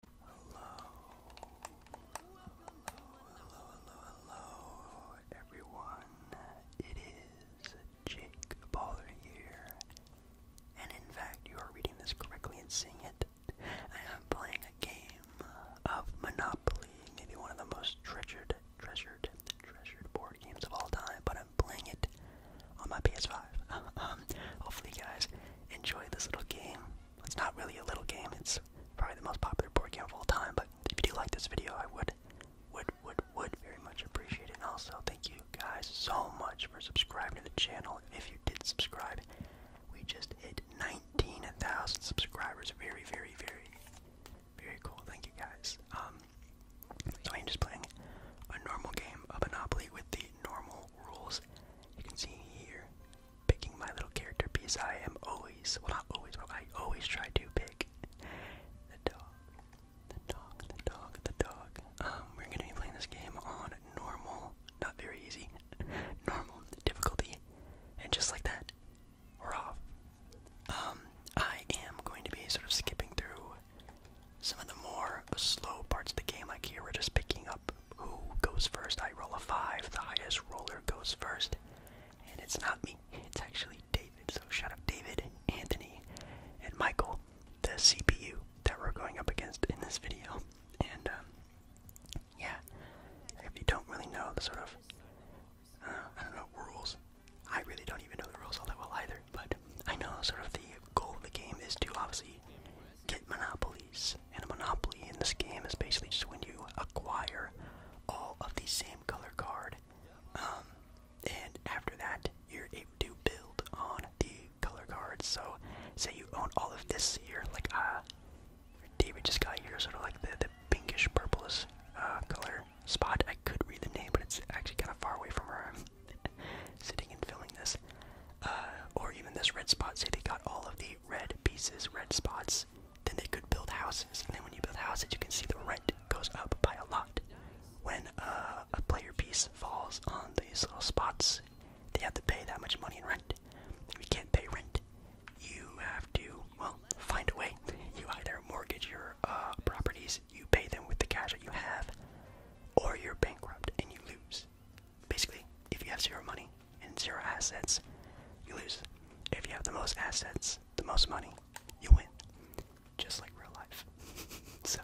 Hello. Hello, hello, hello, hello, everyone. It is Jake Baller here. And in fact, you are reading this correctly and seeing it. I am playing a game of Monopoly, maybe one of the most treasured, treasured, treasured board games of all time, but I'm playing it on my PS5. hopefully you guys enjoy this little game. It's not really a little game. It's probably the most popular board game of all time. But if you do like this video, I would, would, would, would very much appreciate it. And also, thank you guys so much for subscribing to the channel. If you did subscribe, we just hit 19,000 subscribers. Very, very, very, very cool. Thank you guys. Um, so I'm just playing a normal game of Monopoly with the normal rules. You can see here picking my little character piece, I am always, well, not always, I always try to pick the dog. The dog, the dog, the dog. Um, we're gonna be playing this game on normal, not very easy, normal difficulty, and just like that, we're off. Um, I am going to be sort of skipping through some of the more slow parts of the game, like here, we're just picking up who goes first. I roll a five. The highest roller goes first. And it's not me. It's actually David. So shout out David, Anthony, and Michael, the CPU that we're going up against in this video. And um, yeah, if you don't really know the sort of uh, I don't know rules, I really don't even know the rules all that well either. But I know sort of the goal of the game is to obviously get Monopoly and a monopoly in this game is basically just when you acquire all of the same color card. Um, and after that, you're able to build on the color cards. So, say you own all of this here, like uh, David just got here, sort of like the, the pinkish purplish uh, color spot. I could read the name, but it's actually kind of far away from where I'm sitting and filming this. Uh, or even this red spot, say they got all of the red pieces, red spots, then they could build houses. And then when you build houses, you can see the rent goes up by a lot. When uh, a player piece falls on these little spots, they have to pay that much money in rent. If you can't pay rent, you have to, well, find a way. You either mortgage your uh, properties, you pay them with the cash that you have, or you're bankrupt and you lose basically, if you have zero money and zero assets, you lose. If you have the most assets, the most money, you win. Just like real life. so,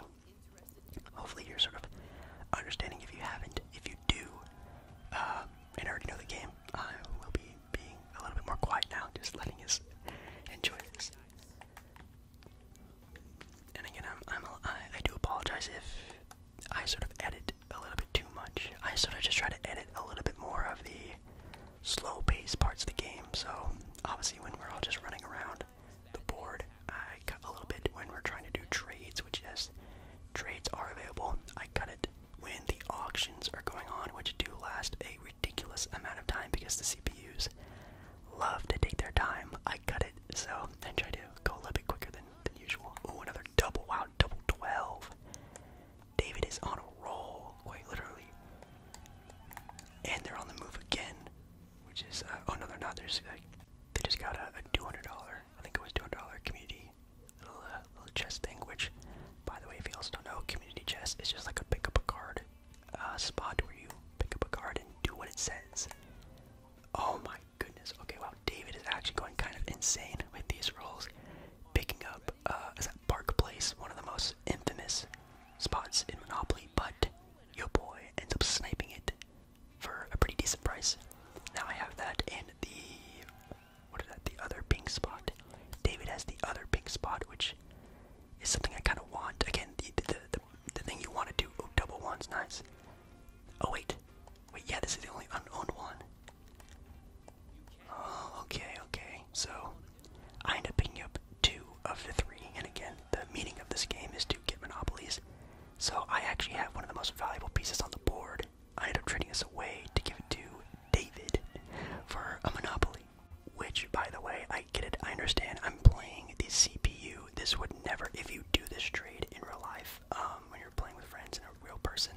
hopefully, you're sort of understanding. If you haven't, if you do, uh, and already know the game, I will be being a little bit more quiet now, just letting us enjoy this. And again, I do apologize if I sort of edit a little bit too much. I sort of just try to edit a little bit more of the slow paced parts of the game. So obviously, when we're all just running around the board, I cut a little bit when we're trying to do trades, which is trades are available. I cut it when the auctions are going on, which do last a ridiculous amount of time because the CPUs love to take their time. I cut it so I try to go a little bit quicker than than usual. Ooh, another double. Wow, double David is on a roll, quite literally. And they're on the move again, which is, uh, oh no, they're not. There's, uh, they just got a, $200, I think it was $200 community little, uh, little chest thing, which, by the way, if you also don't know, community chest is just like a pick up a card uh, spot where you pick up a card and do what it says. Oh my goodness. Okay, wow. David is actually going kind of insane with these rolls. Picking up, uh, is that Park Place? One of the most infamous spots in Monopoly, but your boy ends up sniping it for a pretty decent price. Now I have that and the. What is that? The other pink spot. David has the other pink spot, which is something I kind of want. Again, the, the, the thing you want to do. Oh, double one's nice. Oh wait, wait, yeah, this is the only unowned one. Oh, okay, okay. So I end up picking up two of the three, and again, the meaning of this game is to get monopolies. So I actually have one of the most valuable pieces on the board. I end up trading this away to give it to David for a monopoly. Which, by the way, I get it. I understand. I'm playing the CPU. This would never, if you do this trade in real life, um, when you're playing with friends and a real person,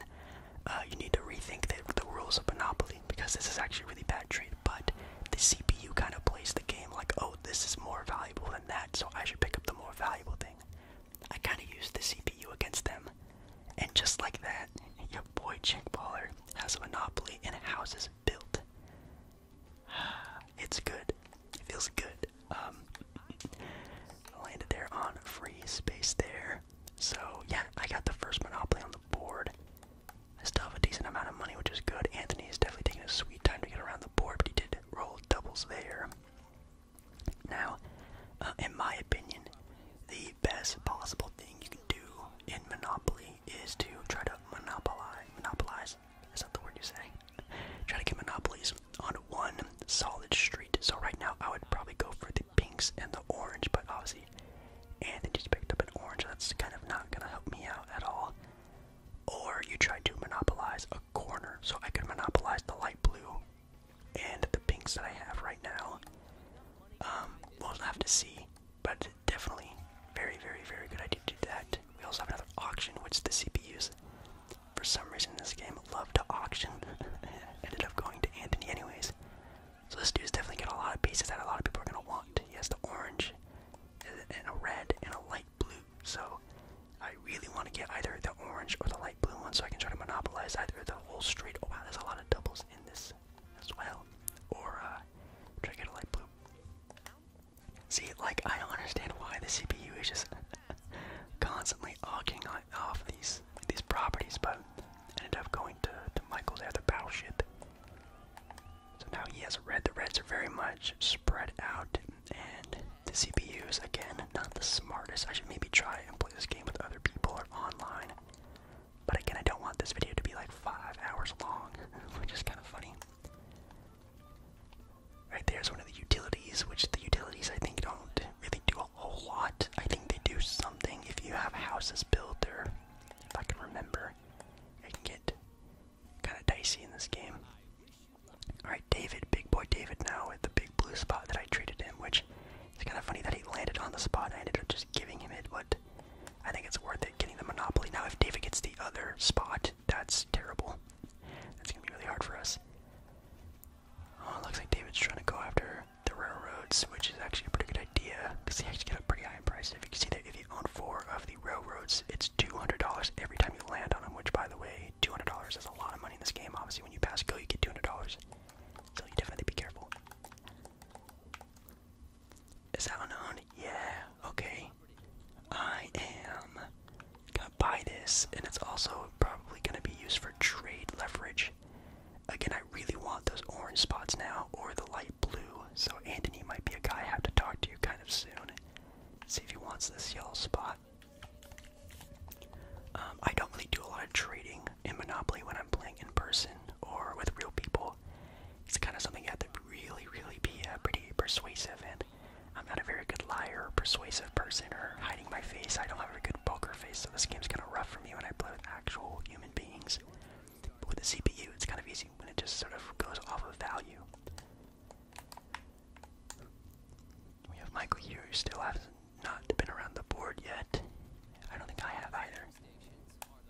uh, you need to rethink the, rules of Monopoly because this is actually a really bad trade. But the CPU kind of plays the game like, oh, this is more valuable than that, so I should pick up the more valuable thing. I kind of used the CPU against them, and just like that, your boy Chinkballer has a monopoly and houses built. It's good. It feels good. I um, landed there on free space there. So yeah, I got the first Monopoly on the board. I still have a decent amount of money, which is good. Anthony is definitely taking a sweet time to get around the board, but he did roll doubles there. Now, uh, in my opinion, the best possible thing you can do in Monopoly is to try to monopolize. Monopolize? Is that the word you say? try to get monopolies on one solid street. So right now I would probably go for the pinks and the orange, but obviously and Anthony just picked up an orange. That's kind of not gonna help me out at all. Or you try to monopolize a corner. So I could monopolize the light blue and the pinks that I have right now. Um, we'll have to see, but definitely very, very, very good idea to do that. We also have another auction, which the CPUs for some reason this game loved to auction. Ended up going to Anthony anyways. So this dude's definitely got a lot of pieces that a lot of people are gonna want. He has the orange uh, and a red and a light blue. So I really want to get either the orange or the light blue one so I can try to monopolize either the whole street. Oh wow, there's a lot of doubles in this as well. Or uh, try to get a light blue. See, like I don't understand why the CPU is just constantly arguing off these these properties, but ended up going to, to Michael there, the battleship. So now he has a red. The reds are very much spread out, and the CPUs, again, not the smartest. I should maybe try and play this game with other people or online. But again, I don't want this video to be like five hours long, which is kind of funny. Right there's one of the utilities, which the utilities I think don't really do a whole lot. I think they do something if you have houses built, there. if I can remember. I can get kind of dicey in this game. Alright, David, big boy David now with the big blue spot that I treated him, which it's kind of funny that he landed on the spot I ended up just giving him it, but I think it's worth it getting the Monopoly. Now, if David gets the other spot, that's terrible. That's gonna be really hard for us. Oh, it looks like David's trying to go after the railroads, which is actually a pretty good idea because they actually get a pretty high in price. If you can see that if you own four of the railroads, it's $200 every time you land on them, which, by the way, $200 is a lot of money in this game. Obviously, when you pass go, you get $200. So you definitely be careful. Is that unowned? Yeah, okay. I am gonna buy this, and it's also probably gonna be used for trade leverage. Again, I really want those orange spots now, or the light blue. So Anthony might be a guy I have to talk to you kind of soon. See if he wants this yellow spot. Um, I don't really do a lot of trading in Monopoly when I'm playing in person or with real people. It's kind of something you have to really, really be uh, pretty persuasive and I'm not a very good liar or persuasive person or hiding my face. I don't have a good poker face, so this game's kind of rough for me when I play with actual human beings. But with the CPU, it's kind of easy when it just sort of goes off of value. We have Michael here who still has not been around the board yet. I don't think I have either.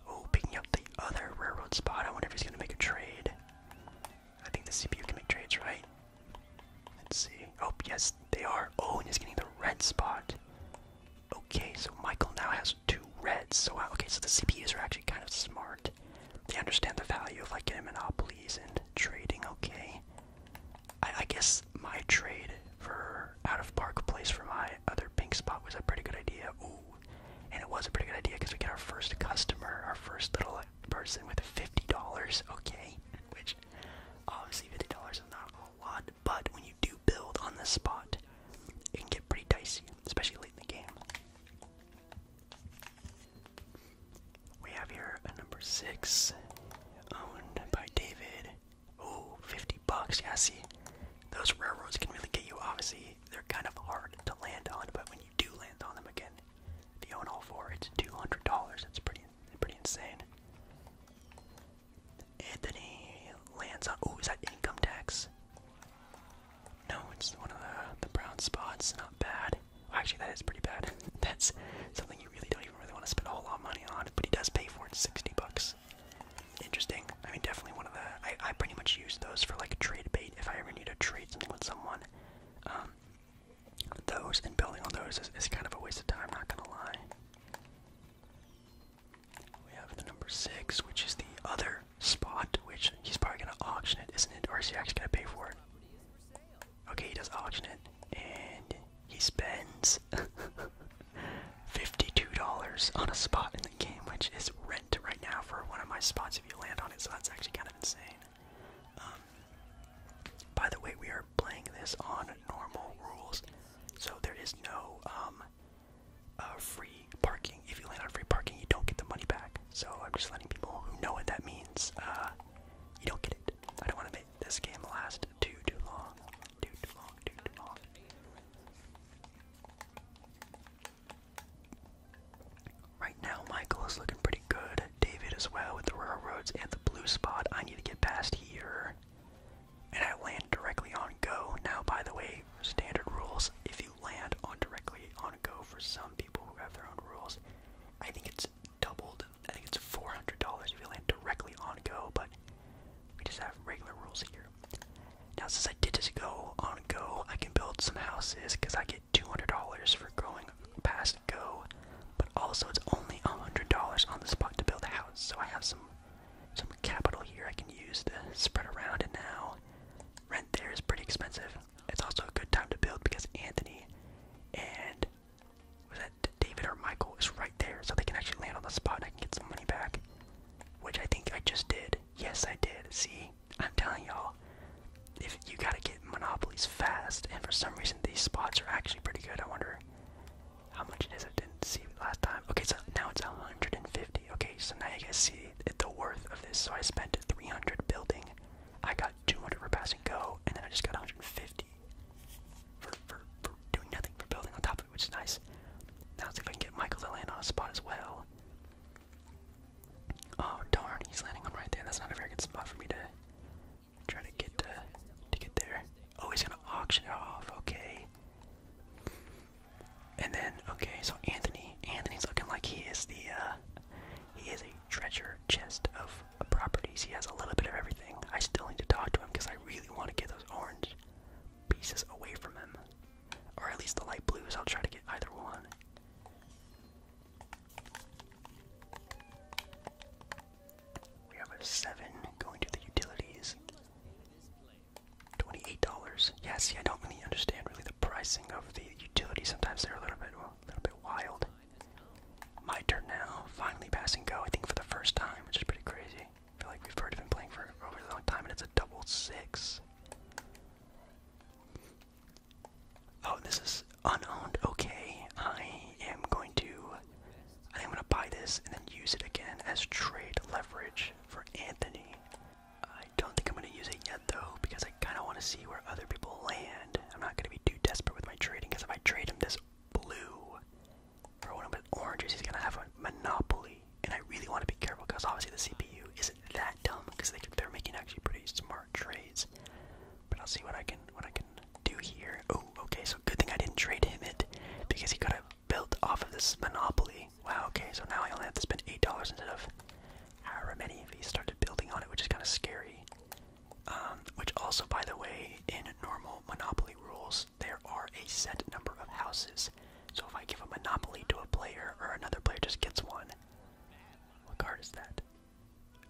Oh, picking up the other railroad spot. I wonder if he's going to make a trade. I think the CPU can make trades, right? Let's see. Oh, yes, they are. Oh, and he's getting the red spot. Okay, so Michael now has two reds. So, okay, so the CPUs are actually kind of smart. They understand the value of, like, getting monopolies and trading, okay. I, guess my trade for out of park place for my other pink spot was a pretty good idea. Ooh, and it was a pretty good idea because we get our first customer, our first little person with $50, okay? Which, obviously, $50 is not a lot, but when you do build on the spot, it can get pretty dicey, especially late in the game. We have here a number six, owned by David. Oh, 50 bucks. Yeah, see, those railroads can really get you. Obviously, they're kind of hard to land on, but when you do land on them again, if you own all four, it's two hundred dollars. That's pretty, pretty insane. Anthony lands on. Oh, is that income tax? No, it's one of the brown spots. Not bad. Actually, that is pretty bad. That's something you really don't even really want to spend a whole lot of money on. But he does pay for it, sixty bucks. Interesting. I mean, definitely one of the. I, I pretty much use those for like a trade bait if I ever need to trade something with someone. Um, those and building on those is, kind of a waste of time, not gonna lie. We have the number six, which is the other spot, which he's probably gonna auction it, isn't it? Or is he actually gonna pay for it? Okay, he does auction it, and he spends $52 on a spot in the game, which is rent right now for one of my spots if you land on it, so that's actually kind of insane. Um, by the way, we are playing this on normal rules, so there is no um, uh, free parking. If you land on free parking, you don't get the money back. So I'm just letting people know what that means. Uh, you don't get it. I don't want to make this game last too too long, too too long, too too long. Right now, Michael is looking pretty good. David as well with the railroads and the blue spot. I need to get past here. And I land directly on go. Now, by the way, standard rules if you land on directly on go for some people who have their own rules, I think it's doubled. I think it's $400 if you land directly on go, but we just have regular rules here. Now, since I did just go on go, I can build some houses because I get $200 for going past Go, but also it's only $100 on the spot to build a house. So I have some some capital here I can use to spread around. And now rent there is pretty expensive. It's also a good time to build because Anthony and was that David or Michael is right there, so they can actually land on the spot and I can get some money back, which I think I just did. Yes, I did. See, I'm telling y'all. If you gotta get monopolies fast, and for some reason these spots are actually pretty good. I wonder how much it is. I didn't see last time. Okay, so now it's 150. Okay, so now you guys see the worth of this. So I spent 300 building. I got 200 for passing go, and then I just got 150 for, doing nothing, for building on top of it, which is nice. Now let's see if I can get Michael to land on a spot as well. Oh darn, he's landing on right there. That's not a very good spot for me to try to get uh, to get there. Oh, he's gonna auction it off. Okay. And then okay, so Anthony, Anthony's looking like he is the uh, he is a treasure chest of properties. He has a little bit of everything. I still need to talk to him because I really want to get those orange pieces away from him, or at least the light blues. I'll try to get either one. We have a seven going to the utilities. Twenty-eight dollars. Yeah, see, I don't really understand really the pricing of the utilities. Sometimes they're a little bit, a little bit wild. My turn now. Finally passing go. I think for the first time, which is pretty crazy. I feel like we've heard of playing for a really long time, and it's a double six. Oh, this is unowned. Okay, I am going to. I am gonna buy this and then use it again as trade leverage for Anthony. I don't think I'm gonna use it yet though because I kind of want to see where other people land. I'm not gonna be too desperate with my trading because if I trade him this blue or one of his oranges, he's gonna have a monopoly. And I really want to be careful because obviously the CPU isn't that dumb because they're making actually pretty smart trades. But I'll see what I can what I can do here. Oh, okay. So good thing I didn't trade him it because he could have built off of this monopoly. Wow. Okay. So now I only have to spend eight dollars instead of however many he started building on it, which is kind of scary. Um, which also, by the way, in normal monopoly rules, there are a set number of houses. So if I give a monopoly to a player or another player just gets one. What card is that?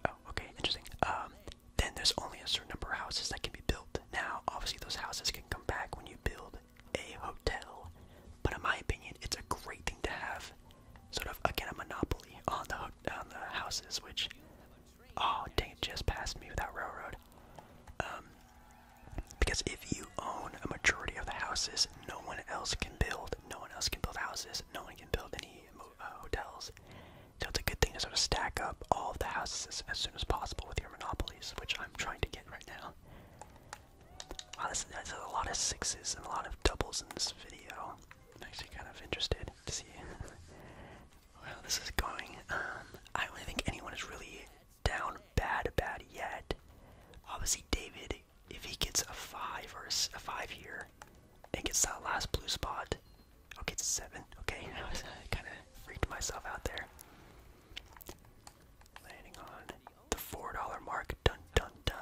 Oh, okay, interesting. Um, then there's only a certain number of houses that can be built. Now, obviously, those houses can come back when you build a hotel, but in my opinion, it's a great thing to have. Sort of again a monopoly on the on the houses, which oh dang, it just passed me without railroad. Um, because if you own a majority of the houses, no one else can build. No one else can build houses no one can build any uh, hotels. So it's a good thing to sort of stack up all of the houses as, soon as possible with your monopolies, which I'm trying to get right now. Wow, that's, that's a lot of sixes and a lot of doubles in this video. I'm actually kind of interested to see how this is going. Um, I don't really think anyone is really down bad bad yet. Obviously, David if he gets a five or a five here, and gets that last blue spot, okay, it's a seven. Okay, I was uh, kind of freaked myself out there. Landing on the four dollar mark. Dun dun dun.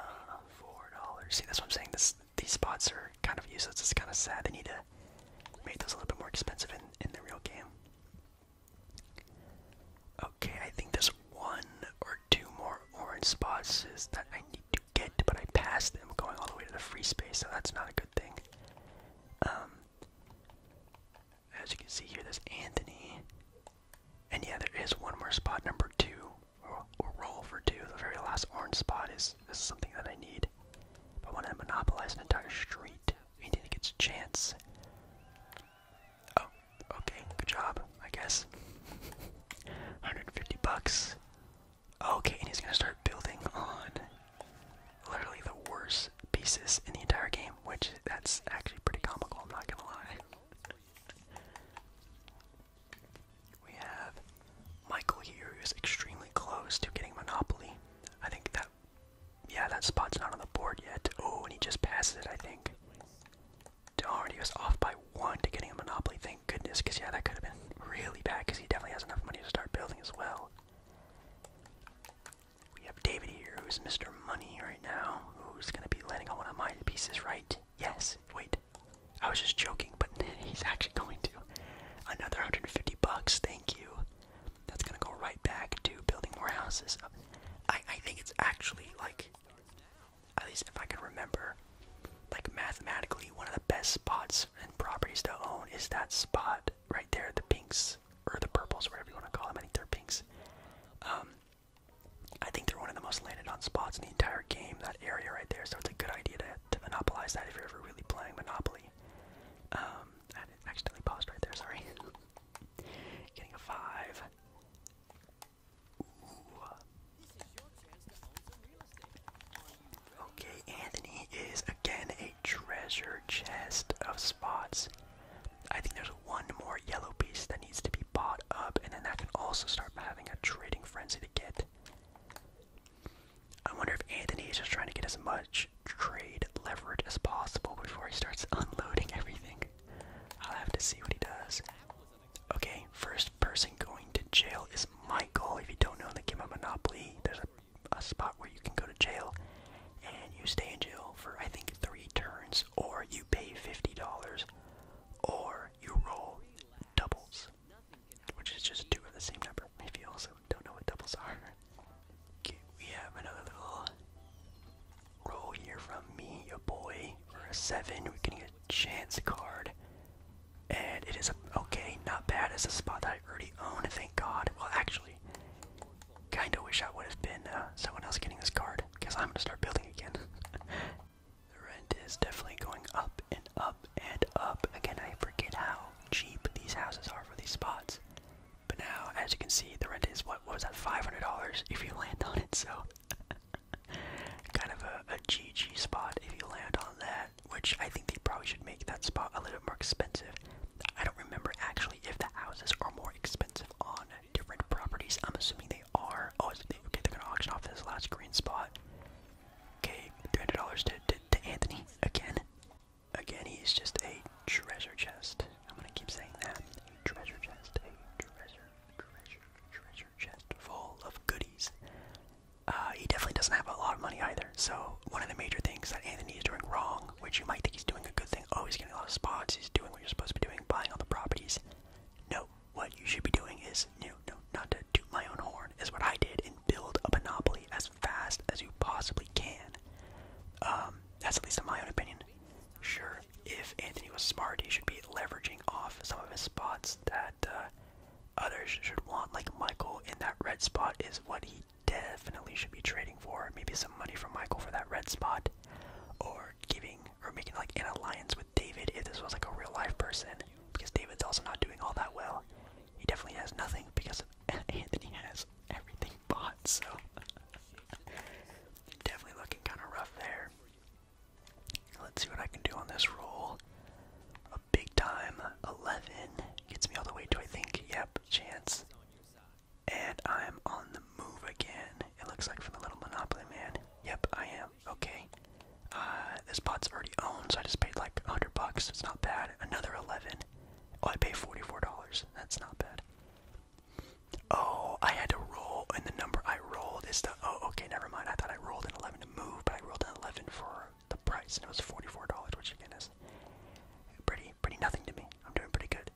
Four dollars. See, that's what I'm saying. This these spots are kind of useless. It's kind of sad. They need to make those a little bit more expensive in in the real game. Okay, I think there's one or two more orange spots that I need to get, but I passed them going all the way to the free space, so that's not a good thing. Um, as you can see here, there's Anthony. And yeah, there is one more spot, number two, or, roll for two. The very last orange spot is, something that I need. If I want to monopolize an entire street, anything that gets a chance. Oh, okay, good job, I guess. 150 bucks. Okay, and he's gonna start building on literally the worst pieces in the entire game, which that's actually pretty comical, I'm not gonna lie. We have Michael here who's extremely close to getting Monopoly. I think that yeah, that spot's not on the board yet. Oh, and he just passed it, I think darn, he was off by one to getting a monopoly. Thank goodness, because yeah, that could have been really bad. Because he definitely has enough money to start building as well. We have David here, who's Mr. Money right now, who's gonna be landing on one of my pieces, right? Yes. Wait, I was just joking, but he's actually going to another 150 bucks. Thank you. That's gonna go right back to building more houses. I I think it's actually like at least if I can remember, like mathematically, one of the best spots and properties to own is that spot right there, the pinks or the purples, whatever you want to call them. I think they're pinks. Um, I think they're one of the most landed on spots in the entire game. That area right there, so it's a good idea to, to monopolize that if you're ever really playing Monopoly. Um, I accidentally paused right there. Sorry. Getting a five. Okay, Anthony is again a treasure chest of spots. I think there's one more yellow piece that needs to be bought up, and then that can also start having a trading frenzy to get. I wonder if Anthony is just trying to get as much trade leverage as possible before he starts unloading everything. I'll have to see what he does. Okay, first person going to jail is Michael. If you don't know the game of Monopoly, there's a, spot where you can go to jail and you stay in jail for I think three turns, or you pay $50, or you roll doubles, which is just two of the same number. If you also don't know what doubles are, we have another little roll here from me, your boy, for a seven. We're getting a chance card. And it is okay, not bad. It's a spot that I already own, thank God. Well, actually, kinda wish I would have been uh, someone else getting this card, because I'm gonna start building again. the rent is definitely going up and up and up. Again, I forget how cheap these houses are for these spots. But now, as you can see, the rent is what was that, $500 if you land on it, so. kind of a, a GG spot if you land on that, which I think they probably should make that spot a little bit more expensive. I don't remember actually if the houses are more expensive on different properties. I'm assuming they are. Oh, they, okay, they're gonna auction off this last green spot. Okay, $300 to, to, Anthony again. Again, he's just a treasure chest. I'm gonna keep saying that. treasure chest. treasure, treasure, treasure, chest full of goodies. Uh, he definitely doesn't have a lot of money either. So one of the major things that Anthony is doing wrong, which you might think he's doing a good thing, oh he's getting a lot of spots, he's doing what you're supposed to be doing, buying all the properties. No, what you should be doing is no, no, not to toot my own horn, is what I did and build a monopoly as fast as you possibly can. Um, that's at least in my own opinion. Sure, if Anthony was smart, he should be leveraging off some of his spots that uh, others should want. Like Michael in that red spot is what he definitely should be trading for. Maybe some money from Michael for that red spot, or giving or making like an alliance with David if this was like a real life person, because David's also not doing all that well. He definitely has nothing because Anthony has everything bought. So definitely looking kind of rough there. Let's see what I can do on this roll. A big time 11 gets me all the way to I think, yep, chance. And I'm on the move again. It looks like from the little Monopoly man. Yep, I am. Okay. Uh, this spot's already owned, so I just paid like a 100 bucks. It's not bad. Another 11. Oh, I pay $44. That's not bad. Oh, I had to roll, and the number I rolled is the. Oh, okay, never mind. I thought I rolled an 11 move, but I rolled an 11 for the price, and it was $44, which again is pretty, pretty nothing to me. I'm doing pretty good.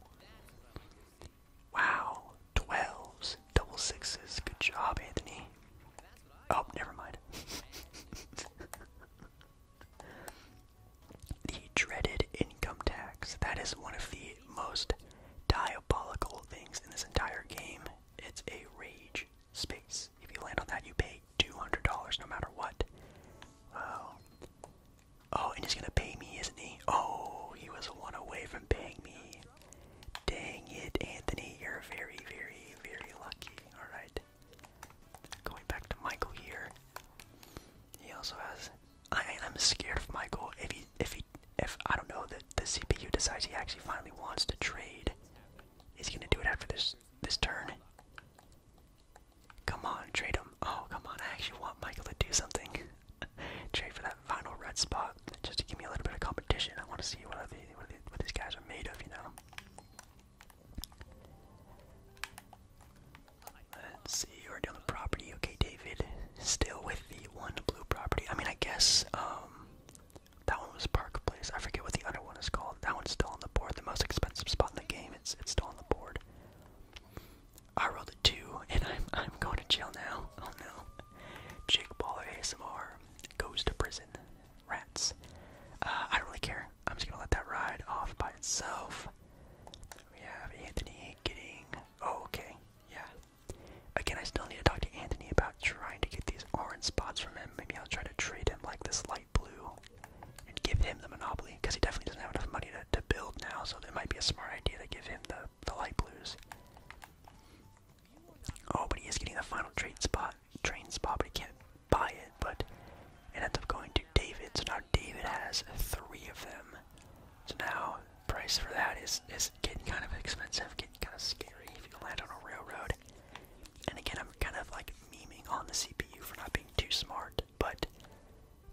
Wow, 12s, double sixes. Good job, Anthony. Oh, never mind. the dreaded income tax. That is one of the most diabolical things in this entire game. It's a rage space. If you land on that, you pay $200 no matter what. Wow. Oh, and he's gonna pay me, isn't he? Oh, he was one away from paying me. Dang it, Anthony, you're very, very, very lucky. Alright. Going back to Michael here. He also has I am scared of Michael. If he if he if I don't know that the CPU decides he actually finally wants to trade, is he gonna do it after this this turn? Come on, trade him. Oh, come on! I actually want Michael to do something. trade for that final red spot just to give me a little bit of competition. I want to see what what, these guys are made of, you know. Let's see, you're down the property. Okay, David. Still with the one blue property. I mean, I guess, um, that one was Park Place. I forget what the other one is called. That one's still on the board. The most expensive spot in the game. It's it's still on the board. I rolled a two, and I'm I'm going to jail now. Oh no. Jake Baller ASMR goes to prison. Rats. Uh, I don't really care. I'm just gonna let that ride off by itself. We have Anthony getting. Oh, okay. Yeah, Again, I still need to talk to Anthony about trying to get these orange spots from him. Maybe I'll try to trade him like this light blue and give him the monopoly because he definitely doesn't have enough money to, build now. So it might be a smart idea to give him the the light blues. Oh, but he is getting the final trade spot, train spot, but he can't buy it. But it ends up going to David. So now David has three of them. So now price for that is is getting kind of expensive, getting kind of scary if you land on a railroad. And again, I'm kind of like memeing on the CPU for not being too smart, but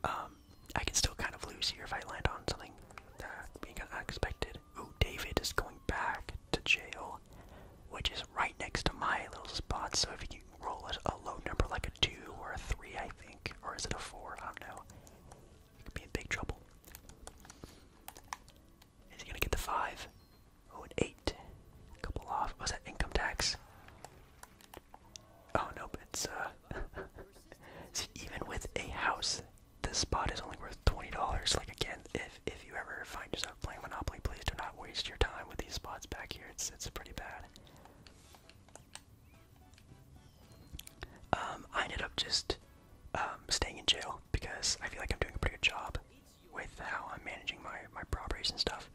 um, I can still kind of lose here if I land on something that being kind of unexpected. Oh, David is going back to jail, which is right next to my little spot. So if you can roll a, a low number like a two or a three, I think, or is it a four? I don't know. You could be in big trouble. Is he gonna get the five? Oh, an eight. A couple off. Was oh, that income tax? Oh nope, it's uh. See, even with a house, this spot is only worth twenty dollars. Like again, if if you ever find yourself playing Monopoly, please do not waste your time with these spots back here. It's it's pretty bad. Um, I ended up just um, staying in jail because I feel like I'm doing a pretty good job with how I'm managing my, my properties and stuff.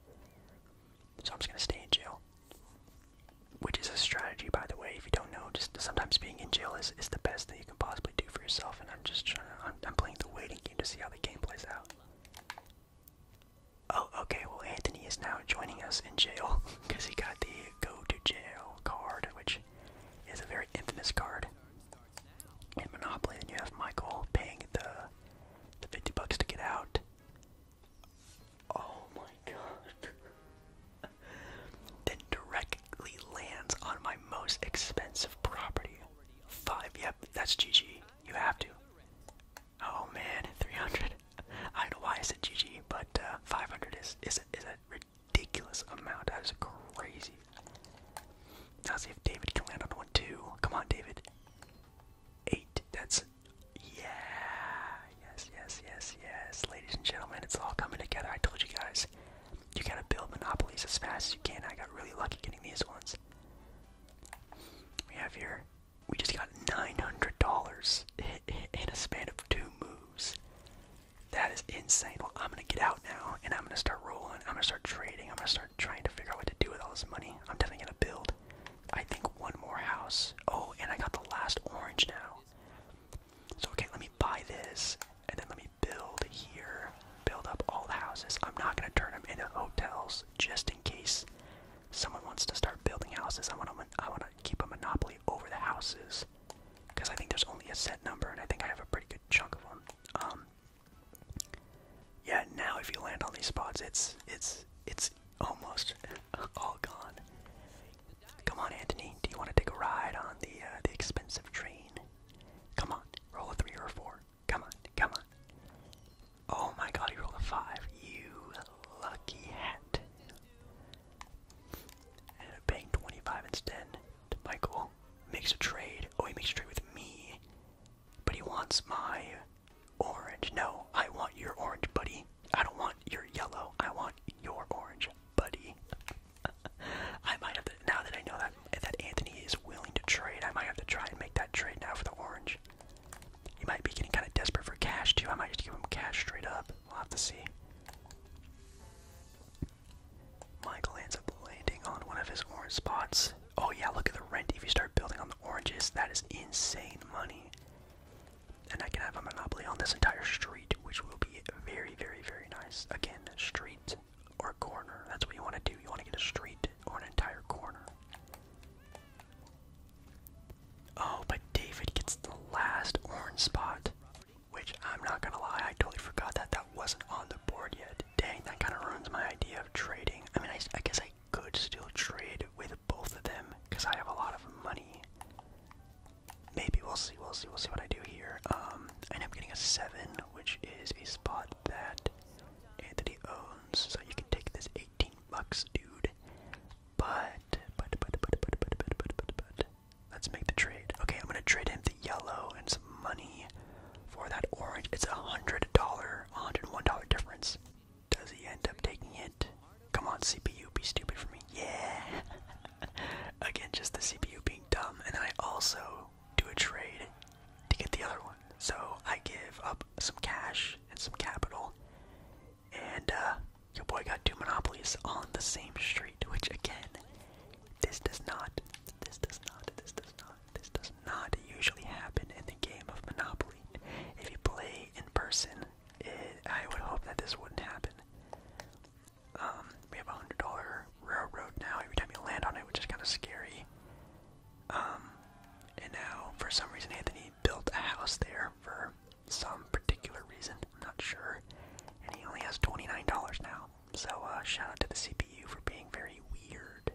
So I'm just gonna stay in jail. Which is a strategy, by the way, if you don't know, just sometimes being in jail is, is the best that you can possibly do for yourself, and I'm just trying I'm playing the waiting game to see how the game plays out. Oh, okay, well, Anthony is now joining us in jail, because he got the go to jail card, which is a very infamous card in Monopoly, then you have Michael paying the the 50 bucks to get out. Oh my god. that directly lands on my most expensive property. Five, yep, that's GG. You have to. Oh man, 300. I don't know why I said GG, but uh, 500 is, is, is a ridiculous amount. That is crazy. Now see if David can land on one too. Come on, David. Eight. That's yeah. Yes, yes, yes, yes. Ladies and gentlemen, it's all coming together. I told you guys. You gotta build monopolies as fast as you can. I got really lucky getting these ones. We have here. We just got nine hundred dollars in a span of two moves. That is insane. Well, I'm gonna get out now, and I'm gonna start rolling. I'm gonna start trading. I'm gonna start trying to figure out what to do with all this money. I'm definitely gonna build. I think one more house. Oh, and I got the last orange now. So okay, let me buy this, and then let me build here. Build up all the houses. I'm not gonna turn them into hotels just in case someone wants to start building houses. I wanna I wanna keep a monopoly over the houses because I think there's only a set number, and I think I have a pretty good chunk of them. Um, yeah, now if you land on these spots, it's it's it's almost all gone. Come on, Anthony. Do you want to take a ride on the uh, the expensive train? Come on, roll a three or a four. Come on, come on. Oh my God, he rolled a five. You lucky hat. And a bang twenty-five ten. Michael. Makes a trade. Oh, he makes a trade with me. But he wants my orange. No, I want your orange, buddy. I don't want your yellow. I want your orange, buddy. I might have to, now that I know that that Anthony is willing to trade, I might have to try and make that trade now for the orange. He might be getting kind of desperate for cash too. I might just give him cash straight up. We'll have to see. Michael ends up landing on one of his orange spots. Oh yeah, look at the rent. If you start building on the oranges, that is insane money. And I can have a monopoly on this entire street, which will be very, very, very nice. Again, street or corner. That's what you want to do. You want to get a street or an entire corner. Oh, but David gets the last orange spot. Which I'm not gonna lie, I totally forgot that that wasn't on the board yet. Dang, that kind of ruins my idea of trading. I mean, I, I guess I could still trade with both of them because I have a lot of money. Maybe we'll see. We'll see. We'll see what I do here. Um, I end up getting a seven, which is a spot that Anthony owns. So you can take this eighteen bucks, dude. But but but but but but but but but. Let's make the trade. Okay, I'm gonna trade him the yellow and some money for that orange. It's a hundred dollar, a hundred one dollar difference. Does he end up taking it? Come on, CPU, be stupid for me. Yeah. Again, just the CPU being dumb, and I also do a trade to get the other one. So I give up some cash and some capital, and uh, your boy got two monopolies on the same street, which again this does not, this does not, this does not, this does not usually happen in the game of Monopoly. If you play in person, I would hope that this wouldn't happen. Um, we have a hundred dollar railroad now every time you land on it, which is kind of scary. Um, and now for some reason Anthony built a house there for some particular reason. I'm not sure, and he only has twenty nine dollars now. So uh, shout out to the CPU for being very weird.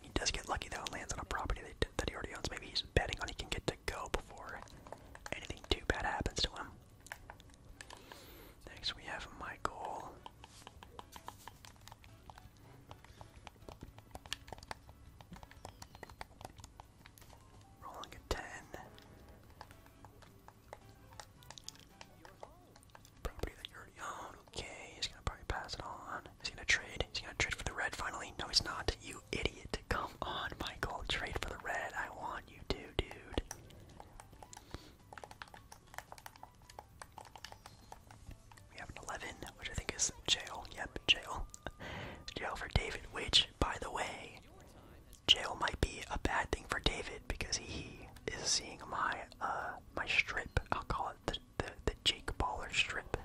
He does get lucky though and lands on a property that, that he already owns. Maybe he's betting on he can get to go before anything too bad happens to him. Next we have Michael. Rolling a 10. Property that you already own. Okay, he's gonna probably pass it on. He's gonna trade. He's gonna trade for the red finally. No, he's not. You idiot. Come on, Michael. Trade for the red. I want you to, dude. We have an 11, which I think is jail. Yep, jail. jail for David, which, by the way, jail might be a bad thing for David because he is seeing my uh my strip. I'll call it the the, Jake Baller strip.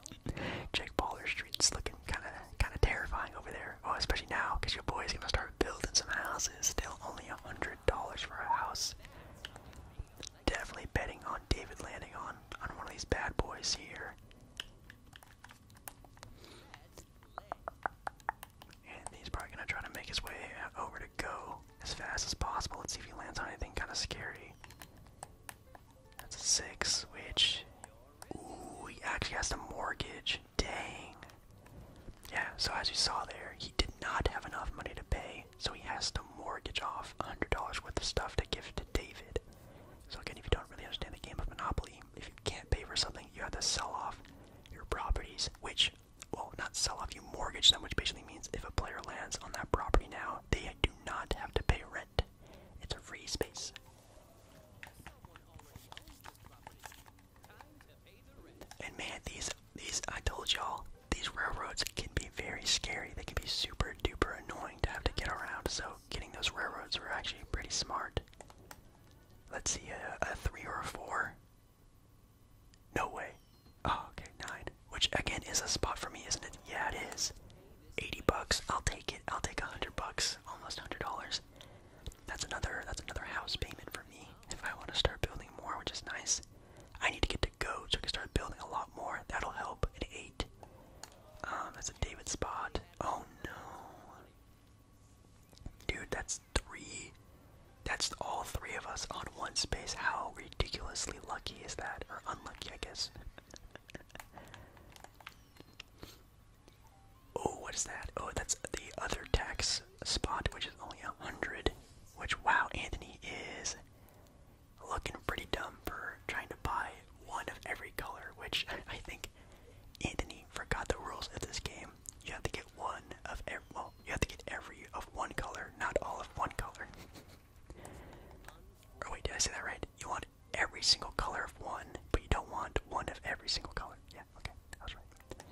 Jake Baller Street's looking kind of kind of terrifying over there. Oh, especially now because your boy's gonna start building some houses. Still only a hundred dollars for a house. Definitely betting on David landing on on one of these bad boys here. And he's probably gonna try to make his way over to go as fast as possible. Let's see if he lands on anything kind of scary. That's a six, which ooh, he actually has to mortgage. Dang. Yeah. So as you saw there, he did not have enough money to pay, so he has to mortgage off $100 worth of stuff to give to David. So again, if you don't really understand the game of Monopoly. If you can't pay for something, you have to sell off your properties, which, well, not sell off, you mortgage them, which basically means if a player lands on that property now, they do not have to pay rent. It's a free space. And man, these these I told y'all, these railroads can be very scary. They can be super duper annoying to have to get around. So getting those railroads were actually pretty smart. Let's see, a, three or a four. No way. Oh, okay, nine. Which again is a spot for me, isn't it? Yeah, it is. 80 bucks. I'll take it. I'll take 100 bucks. Almost $100. That's another that's another house payment for me if I want to start building more, which is nice. I need to get to go so I can start building a lot more. That'll help. An 8. Um, that's a David spot. Oh no. Dude, that's three. That's all three of us on one space. How ridiculously lucky is that? Or unlucky, I guess. oh, what is that? Oh, that's the other tax spot, which is only a hundred. Which, wow, Anthony is looking pretty dumb for trying to buy one of every color, which I think Anthony completely forgot the rules of this game. You have to get one of every, well, you have to get every of one color, not all of one color. or oh, wait, did I say that right? You want every single color of one, but you don't want one of every single color. Yeah, okay, that was right.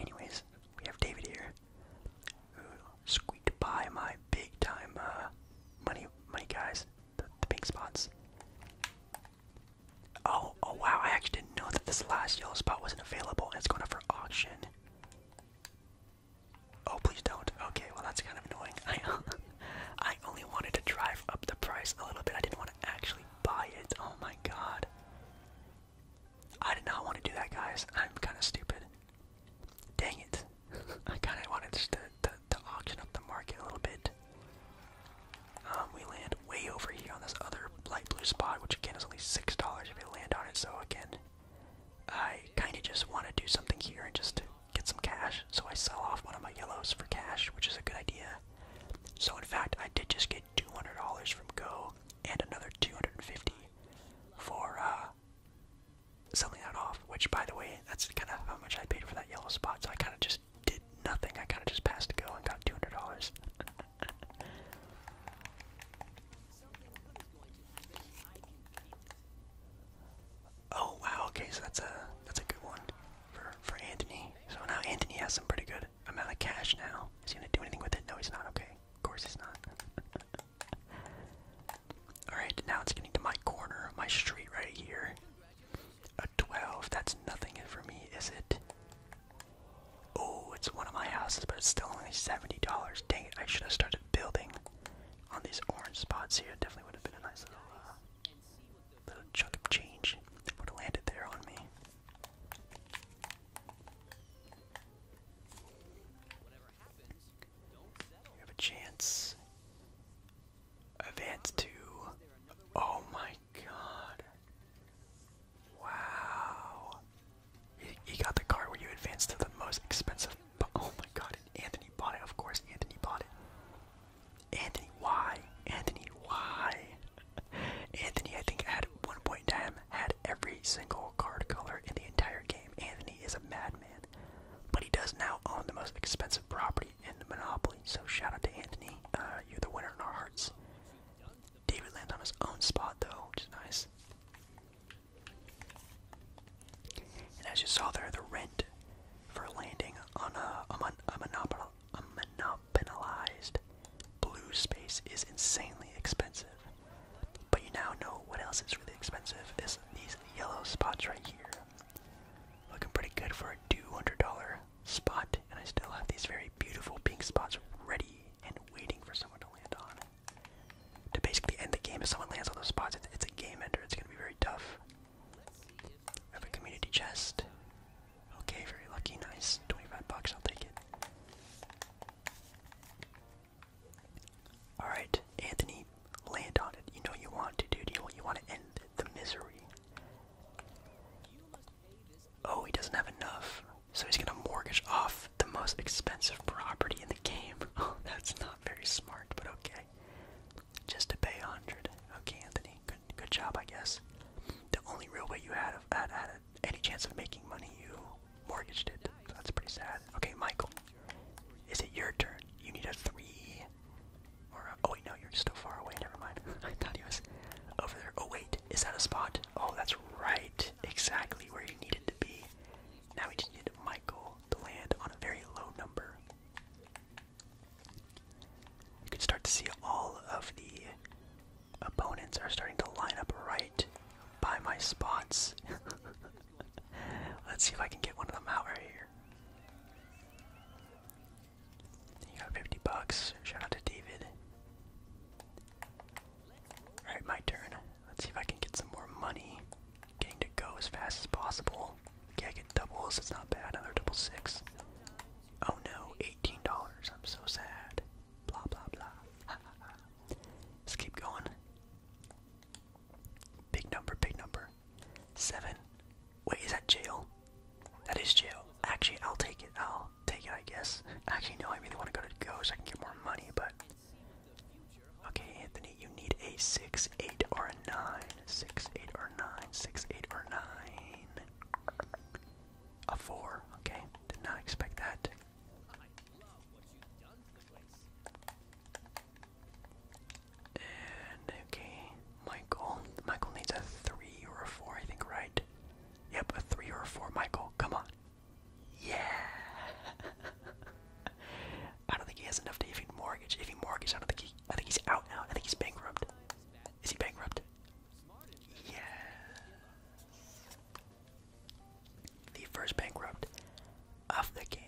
Anyways, we have David here, who squeaked by my big time uh, money, money guys, the, the big spots. Oh, oh wow, I actually didn't know that this last yellow spot wasn't available and it's going up for auction. Oh, please don't. Okay, well that's kind of annoying. I, only wanted to drive up the price a little bit. I didn't want to actually buy it. Oh my god. I did not want to do that, guys. I'm kind of stupid. Dang it. I kind of wanted to to auction up the market a little bit. Um, we land way over here on this other light blue spot, which again is only six dollars if we land on it. So again, I kind of just want to do something here and just get some cash. So I sell off one of my yellows for cash, which is a good idea. So in fact, I did just get two hundred dollars from Go and another two hundred and fifty for uh, selling that off. Which, by the way, that's kind of how much I paid for that yellow spot. So I kind of just just did nothing. I kind of just passed to go and got two hundred dollars. oh wow. Okay, so that's a that's a good one for for Anthony. So now Anthony has some pretty good amount of cash now. Is he gonna do anything with it? No, he's not. Okay, of course he's not. Alright, now it's getting to my corner, my street right here. 12, that's nothing for me, is it? Oh, it's one of my houses, but it's still only $70. Dang it, I should have started building on these orange spots here. It definitely would have been a nice little, uh, little chunk of change. It would have landed there on me. We have a chance Advance to. Oh my god. Wow. He, got the card where you advance to the most expensive. Oh my god. Anthony bought it. Of course, Anthony bought it. Anthony, why? Anthony, why? Anthony, I think at one point in time had every single card color in the entire game. Anthony is a madman, but he does now own the most expensive property property in Monopoly. So shout out to Anthony. Uh, you're the winner in our hearts. David lands on his own spot though, which is nice. And as you saw there, the rent for landing on a, a, mon a, monopol a monopolized blue space is insanely expensive. But you now know what else is really expensive is these yellow spots right here. Looking pretty good for a $200 spot, and I still have these very beautiful pink spots ready and waiting for someone to land on. To basically end the game, if someone lands on those spots, it's, a game ender. It's going to be very tough. I have a community chest. Okay, very lucky. Nice. 25 bucks, I'll take it. Alright, Anthony, land on it. You know you want to, do You, you want to end the misery. Oh, he doesn't have enough. So he's gonna mortgage off the most expensive property in the game. Oh, that's not very smart, but okay. Just to pay 100. Okay, Anthony, good, good job, I guess. The only real way you had, of, had, any chance of making money, you mortgaged it. that's pretty sad. Okay, Michael, is it your turn? You need a three oh wait, no, you're still far away, never mind. I thought he was over there. Oh wait, is that a spot? Oh, that's right, exactly where you needed to be. Now we just need Michael to land on a very low number. You can start to see all of the opponents are starting to line up right by my spots. Let's see if I can get one of them out right here. You got 50 bucks. Shout out to David. Alright, my turn. Let's see if I can get some more money. Getting to go as fast as possible. Okay, I get doubles. It's not bad. Another double six. Oh no, $18. I'm so sad. Blah, blah, blah. Let's keep going. Big number, big number. Seven. Wait, is that jail? That is jail. Actually, I'll take it. I'll take it, I guess. Actually, no, I really want to go to Go so I can get more money, but. Okay, Anthony, you need a 6, 8, or a 9. 6, 8, or 9. 6, 8, or 9. A 4. Okay, did not expect that. And okay, Michael. Michael needs a three or a four, I think, right? Yep, a three or a four, Michael. Come on. Yeah. I don't think he has enough to even mortgage. If he mortgage, I don't think he. I think he's out now. I think he's bankrupt. Is he bankrupt? Yeah. The first bankrupt of the game.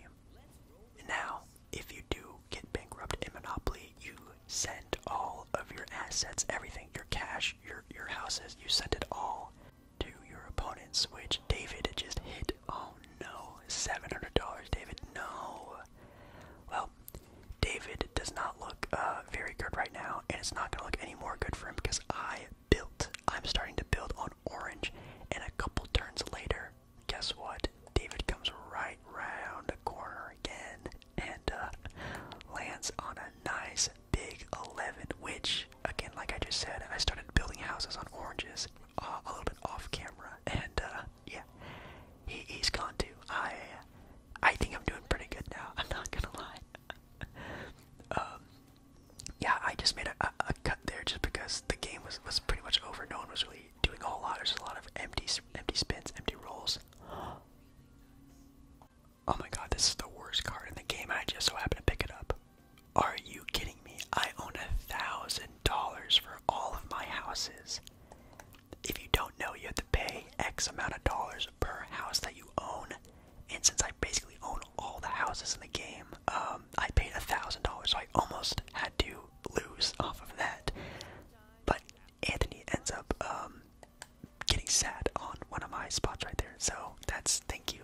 now if you do get bankrupt in Monopoly, you send all of your assets, everything, your cash, your your houses, you send it all to your opponents, which David just hit. Oh no, seven hundred dollars, David. No. Well, David does not look uh, very good right now, and it's not gonna look any more good for him because I built. I'm starting to build on orange, and a couple turns later, guess what? David comes right round the corner again and uh, lands on a nice big 11, which, again, like I just said, I started building houses on oranges uh, a little bit off camera, and uh, yeah, he, has gone too. I, I think I'm doing pretty good now. I'm not gonna lie. Um, yeah, I just made a, a, a cut there just because the game was was pretty much over. No one was really doing a lot. There's a lot of empty, empty spins, empty rolls. Oh my god, this is the worst card in the game, I just so happened to pick it up. Are you kidding me? I own a thousand dollars for all of my houses. If you don't know, you have to pay X amount of dollars per house that you own. And since I basically own all the houses in the game, um, I paid a thousand dollars, so I almost had to lose off of that. But Anthony ends up um, getting sad on one of my spots right there. So that's thank you,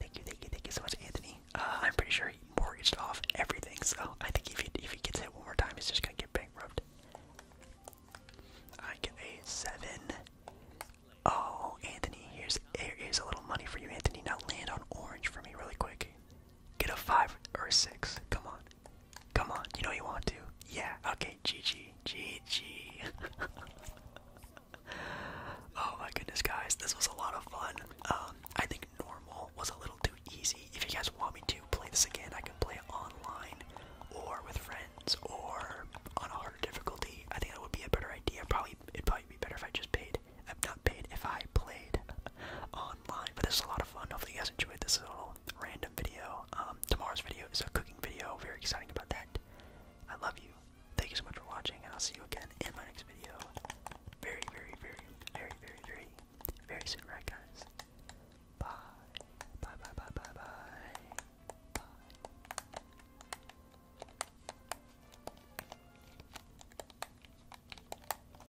thank you, thank you, thank you so much, Anthony. Uh, I'm pretty sure he mortgaged off everything. So I think if he if he gets hit one more time, he's just gonna get bankrupt. I get a seven. Oh, Anthony, here's here's a little money for you, Anthony. Now land on orange for me really quick. Get a five or a six. Come on. Come on, you know you want to. Yeah, okay, GG. GG. oh my goodness, guys, this was a lot of fun. Um, I think normal was a little too easy. If you guys want me to play this again, I can play it online or with friends or on a harder difficulty. I think that would be a better idea. Probably it'd probably be better if I just paid. I'm not paid if I played. online, but this is a lot of fun. Hopefully, you guys enjoyed this little random video. Um, tomorrow's video is a cooking video. Very exciting about that. I love you. Thank you so much for watching, and I'll see you again in my next video. Very, very, very, very, very, very, very soon, right, guys? Bye. Bye, bye, bye, bye, bye. Bye.